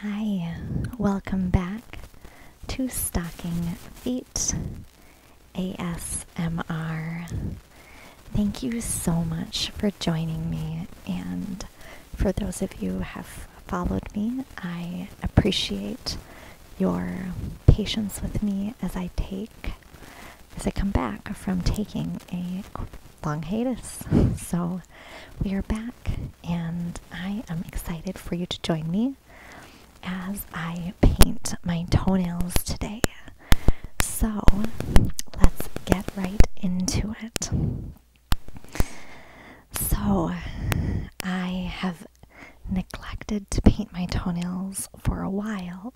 Hi, welcome back to Stocking Feet ASMR. Thank you so much for joining me, and for those of you who have followed me, I appreciate your patience with me as I take, as I come back from taking a long hiatus. So we are back, and I am excited for you to join me as I paint my toenails today. So let's get right into it. So I have neglected to paint my toenails for a while,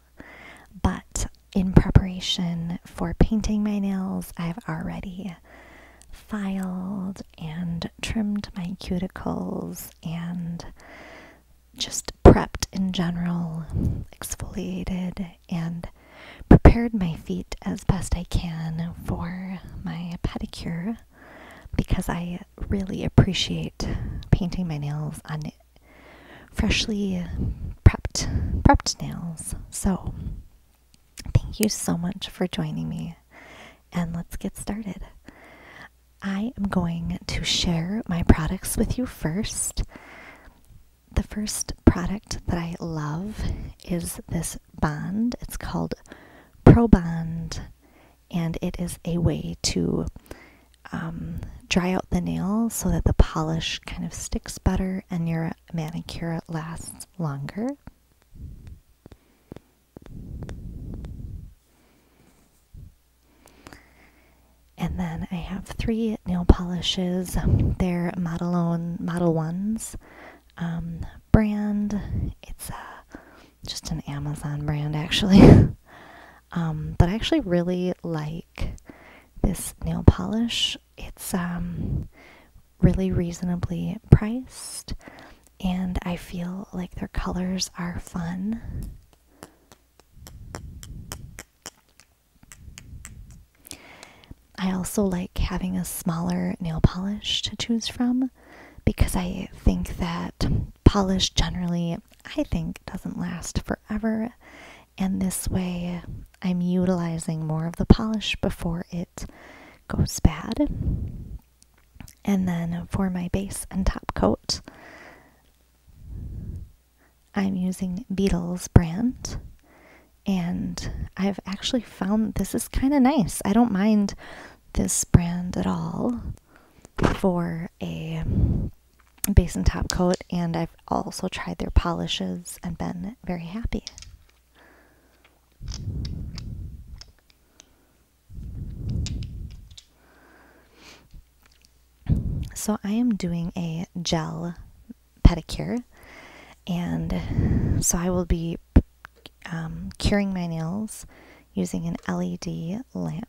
but in preparation for painting my nails, I've already filed and trimmed my cuticles and just prepped in general, exfoliated, and prepared my feet as best I can for my pedicure because I really appreciate painting my nails on freshly prepped prepped nails. So Thank you so much for joining me, and let's get started. I am going to share my products with you first. The first product that I love is this bond. It's called Pro Bond, and it is a way to um, dry out the nail so that the polish kind of sticks better and you're manicure lasts longer. And then I have three nail polishes. They're Model, One, Ones um, brand. It's just an Amazon brand, actually. Um, but I actually really like this nail polish. It's um, really reasonably priced, and I feel like their colors are fun. I also like having a smaller nail polish to choose from because I think that polish generally, I think, doesn't last forever. And this way, I'm utilizing more of the polish before it goes bad. And then for my base and top coat, I'm using Beatles brand. And I've actually found this is kind of nice. I don't mind this brand at all for a base and top coat. And I've also tried their polishes and been very happy. So I am doing a gel pedicure, and so I will be um, curing my nails using an LED lamp.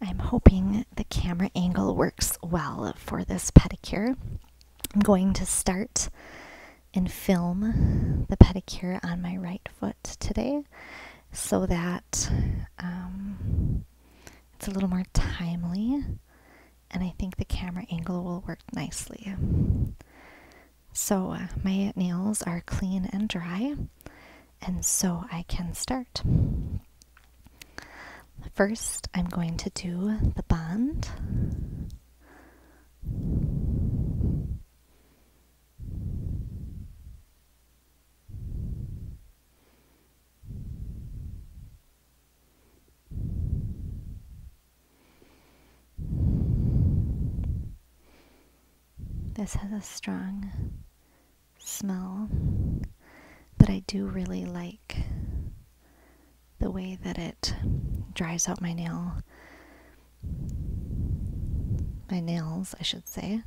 I'm hoping the camera angle works well for this pedicure. I'm going to start and film the pedicure on my right foot today so that um, it's a little more timely and I think the camera angle will work nicely. So, uh, my nails are clean and dry, and so I can start. First, I'm going to do the bond. This has a strong smell, but I do really like the way that it dries out my nail. My nails, I should say,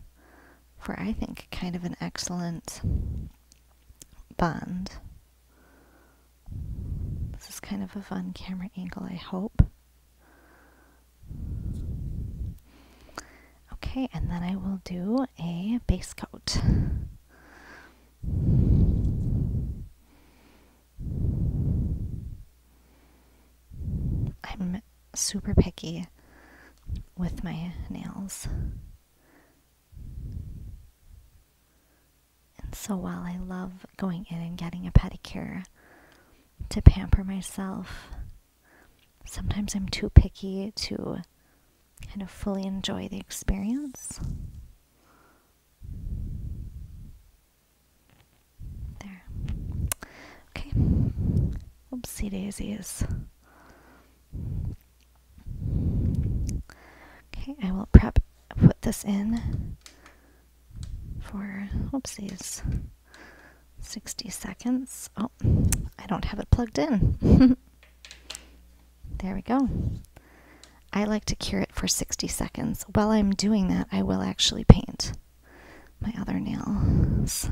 for I think kind of an excellent bond. This is kind of a fun camera angle, I hope. Okay, and then I will do a base coat. I'm super picky with my nails. And so while I love going in and getting a pedicure to pamper myself sometimes I'm too picky to kind of fully enjoy the experience. There. Okay. Oopsie daisies. Okay, I will prep, put this in for, oopsies. 60 seconds. Oh, I don't have it plugged in. there we go. I like to cure it for 60 seconds. While I'm doing that, I will actually paint my other nails.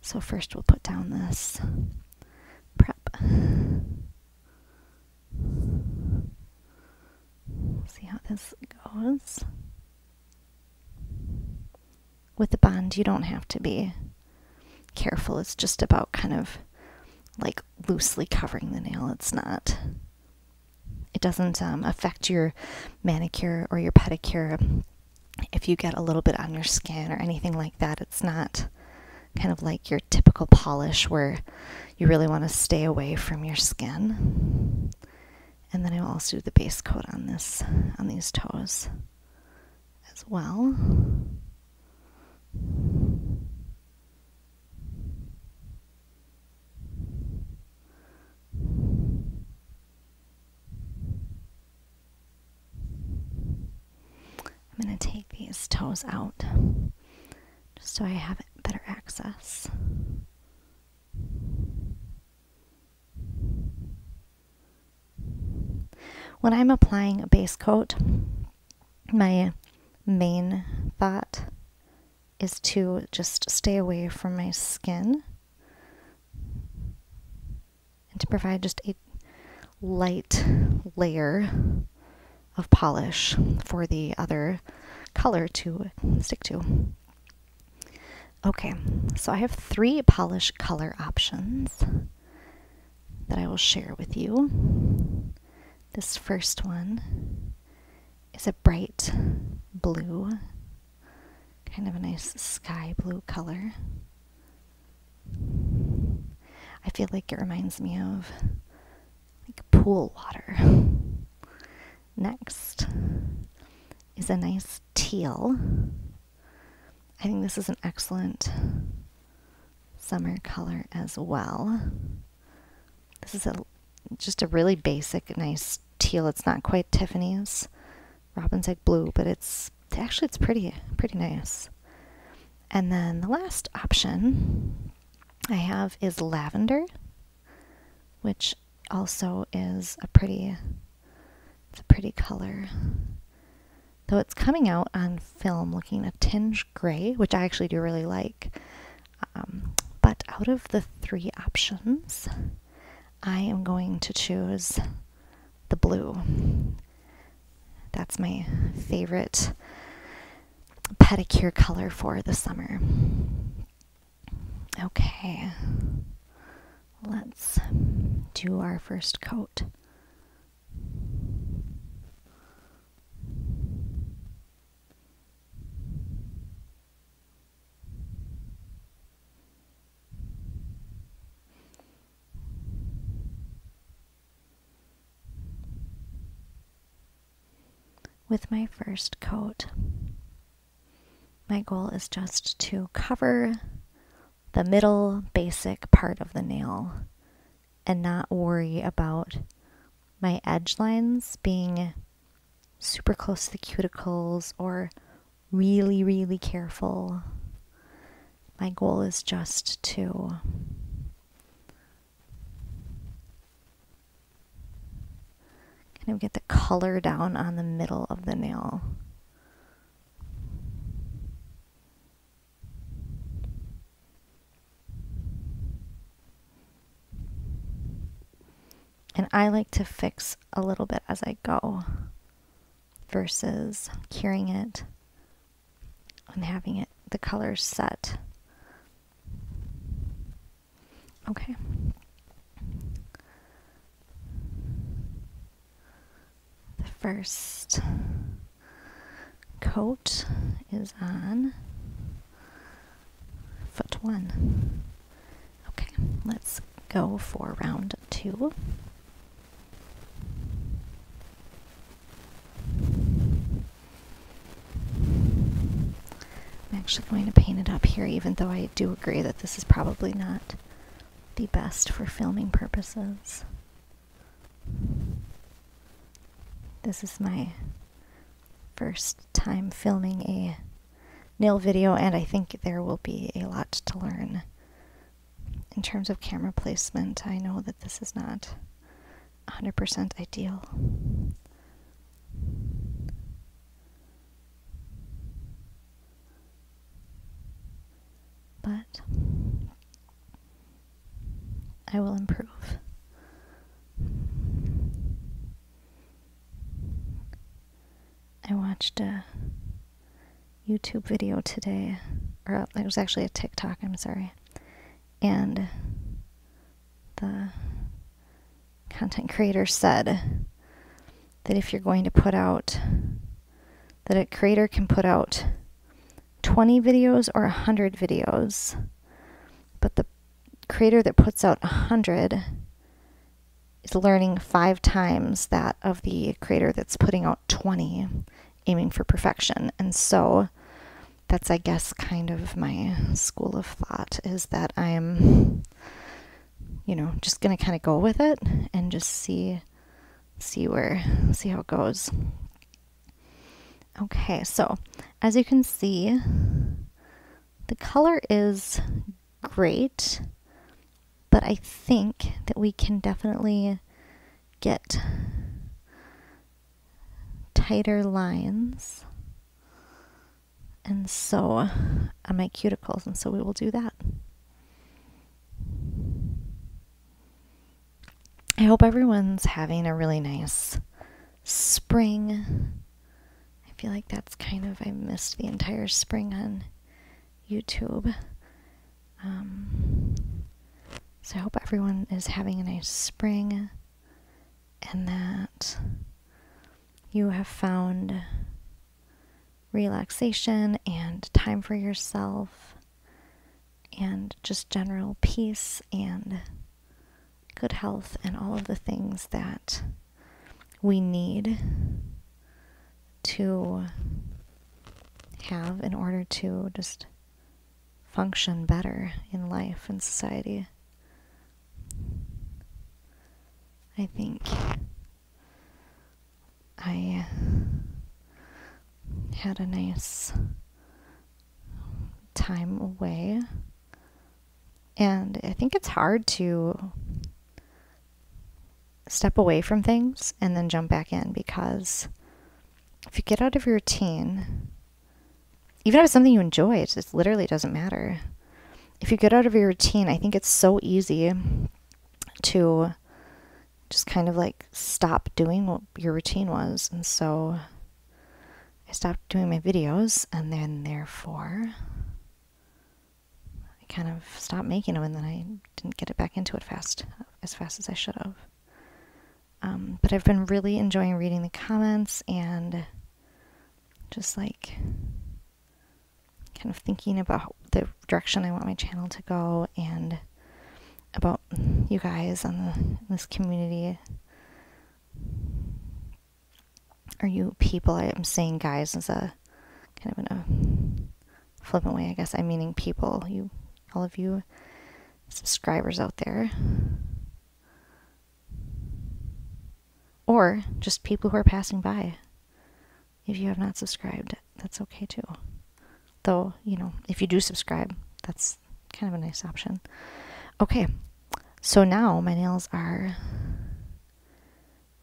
So first we'll put down this prep. See how this goes. With the bond, you don't have to be careful. It's just about kind of like loosely covering the nail. It's not, it doesn't um, affect your manicure or your pedicure if you get a little bit on your skin or anything like that. It's not kind of like your typical polish where you really want to stay away from your skin. And then I will also do the base coat on this, on these toes as well. I'm going to take these toes out just so I have better access. When I'm applying a base coat, my main thought is to just stay away from my skin and to provide just a light layer of polish for the other color to stick to. Okay, so I have three polish color options that I will share with you. This first one is a bright blue, kind of a nice sky blue color. I feel like it reminds me of like pool water. Next is a nice teal I think this is an excellent summer color as well. This is a just a really basic, nice teal. It's not quite Tiffany's Robin's Egg Blue, but it's actually it's pretty, pretty nice. And then the last option I have is lavender, which also is a pretty it's a pretty color. Though it's coming out on film looking a tinge gray, which I actually do really like. Um, but out of the three options, I am going to choose the blue. That's my favorite pedicure color for the summer. Okay, let's do our first coat. With my first coat, my goal is just to cover the middle basic part of the nail and not worry about my edge lines being super close to the cuticles or really, really careful. My goal is just to kind of get the color down on the middle of the nail. And I like to fix a little bit as I go versus curing it and having it the color set. Okay. The first coat is on foot one. Okay, let's go for round two. I'm actually going to paint it up here, even though I do agree that this is probably not not the best for filming purposes. This is my first time filming a nail video, and I think there will be a lot to learn. In terms of camera placement, I know that this is not 100% ideal. But I will improve. I watched a YouTube video today, or it was actually a TikTok, I'm sorry, and the content creator said that if you're going to put out, that a creator can put out 20 videos or 100 videos, but the creator that puts out 100 is learning five times that of the creator that's putting out 20, aiming for perfection. And so that's, I guess, kind of my school of thought is that I'm you know, just going to kind of go with it and just see see where see how it goes. Okay, so as you can see, the color is great, but I think that we can definitely get tighter lines and so on uh, my cuticles, and so we will do that. I hope everyone's having a really nice spring. I feel like that's kind of, I missed the entire spring on YouTube. Um, so I hope everyone is having a nice spring and that you have found relaxation and time for yourself and just general peace and good health and all of the things that we need to have in order to just function better in life and society. I think I uh, had a nice time away. And I think it's hard to step away from things and then jump back in because if you get out of your routine, even if it's something you enjoy, it just literally doesn't matter if you get out of your routine, I think it's so easy to just kind of like stop doing what your routine was. And so I stopped doing my videos, and then therefore I kind of stopped making them, and then I didn't get it back into it fast, as fast as I should have. Um, but I've been really enjoying reading the comments and just like kind of thinking about the direction I want my channel to go and about you guys on this community Are you people I am saying guys as a kind of in a flippant way I guess I'm meaning people you all of you subscribers out there or just people who are passing by. If you have not subscribed, that's okay too. Though, you know, if you do subscribe, that's kind of a nice option. Okay, so now my nails are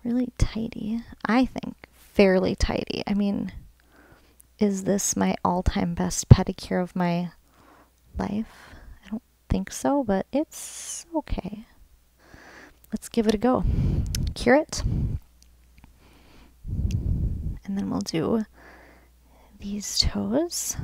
really tidy. I think fairly tidy. I mean, is this my all time best pedicure of my life? I don't think so, but it's okay. Let's give it a go. Cure it. And then we'll do these toes.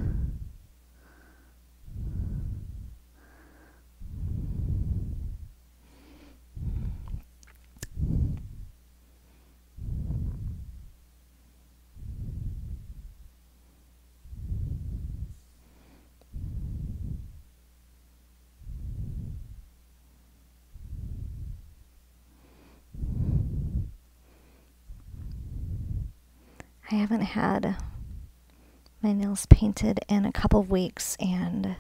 I haven't had my nails painted in a couple of weeks, and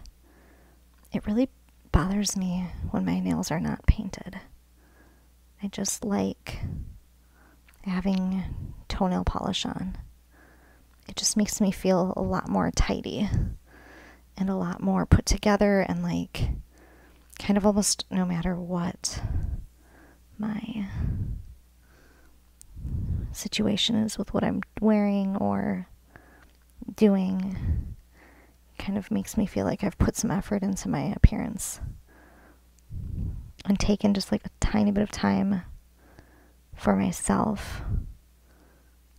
it really bothers me when my nails are not painted. I just like having toenail polish on. It just makes me feel a lot more tidy and a lot more put together and like kind of almost no matter what my situation is with what I'm wearing or doing kind of makes me feel like I've put some effort into my appearance and taken just like a tiny bit of time for myself.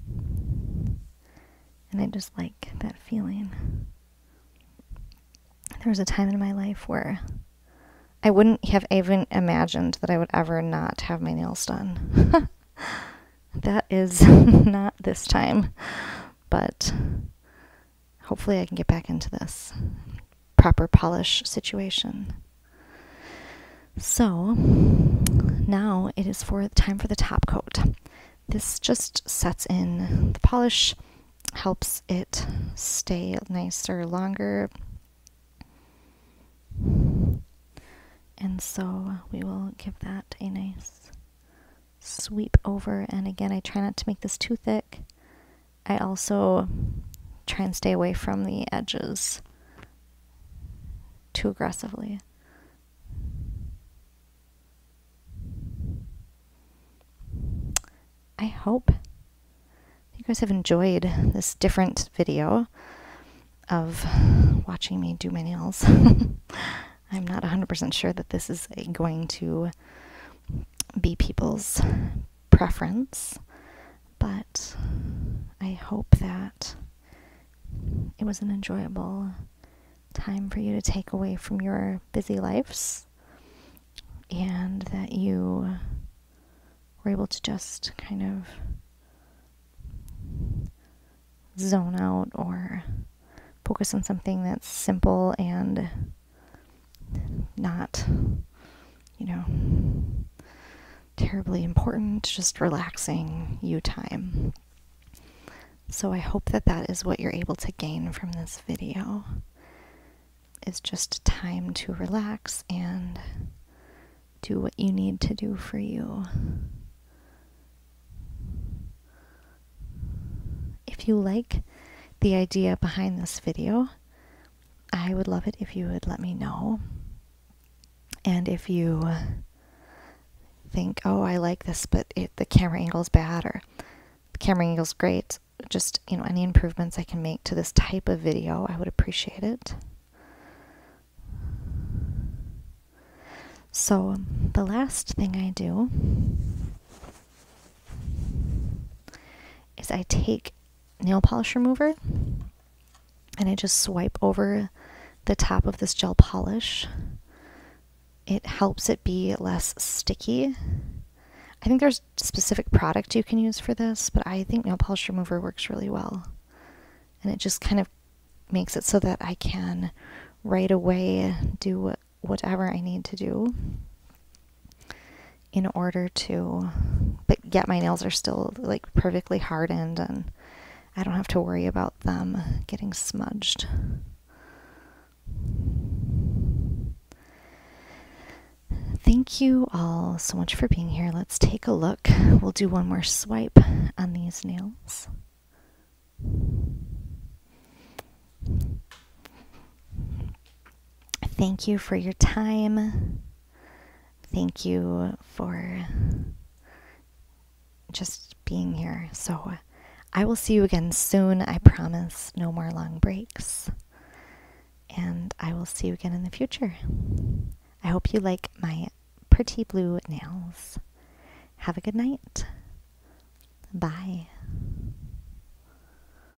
And I just like that feeling. There was a time in my life where I wouldn't have even imagined that I would ever not have my nails done. that is not this time, but hopefully I can get back into this proper polish situation. So now it is for time for the top coat. This just sets in the polish, helps it stay nicer longer. And so we will give that a nice sweep over. And again, I try not to make this too thick I also try and stay away from the edges too aggressively. I hope you guys have enjoyed this different video of watching me do my nails. I'm not 100% sure that this is going to be people's preference, but I hope that it was an enjoyable time for you to take away from your busy lives and that you were able to just kind of zone out or focus on something that's simple and not, you know, terribly important, just relaxing you time. So I hope that that is what you're able to gain from this video It's just time to relax and do what you need to do for you. If you like the idea behind this video, I would love it if you would let me know. And if you think, oh, I like this, but the camera angle is bad or the camera angle is great, just, you know, any improvements I can make to this type of video, I would appreciate it. So, the last thing I do is I take nail polish remover and I just swipe over the top of this gel polish. It helps it be less sticky. I think there's specific product you can use for this, but I think nail polish remover works really well. And it just kind of makes it so that I can right away do whatever I need to do in order to but yet my nails are still like perfectly hardened and I don't have to worry about them getting smudged. Thank you all so much for being here. Let's take a look. We'll do one more swipe on these nails. Thank you for your time. Thank you for just being here. So I will see you again soon. I promise no more long breaks. And I will see you again in the future. I hope you like my pretty blue nails. Have a good night. Bye.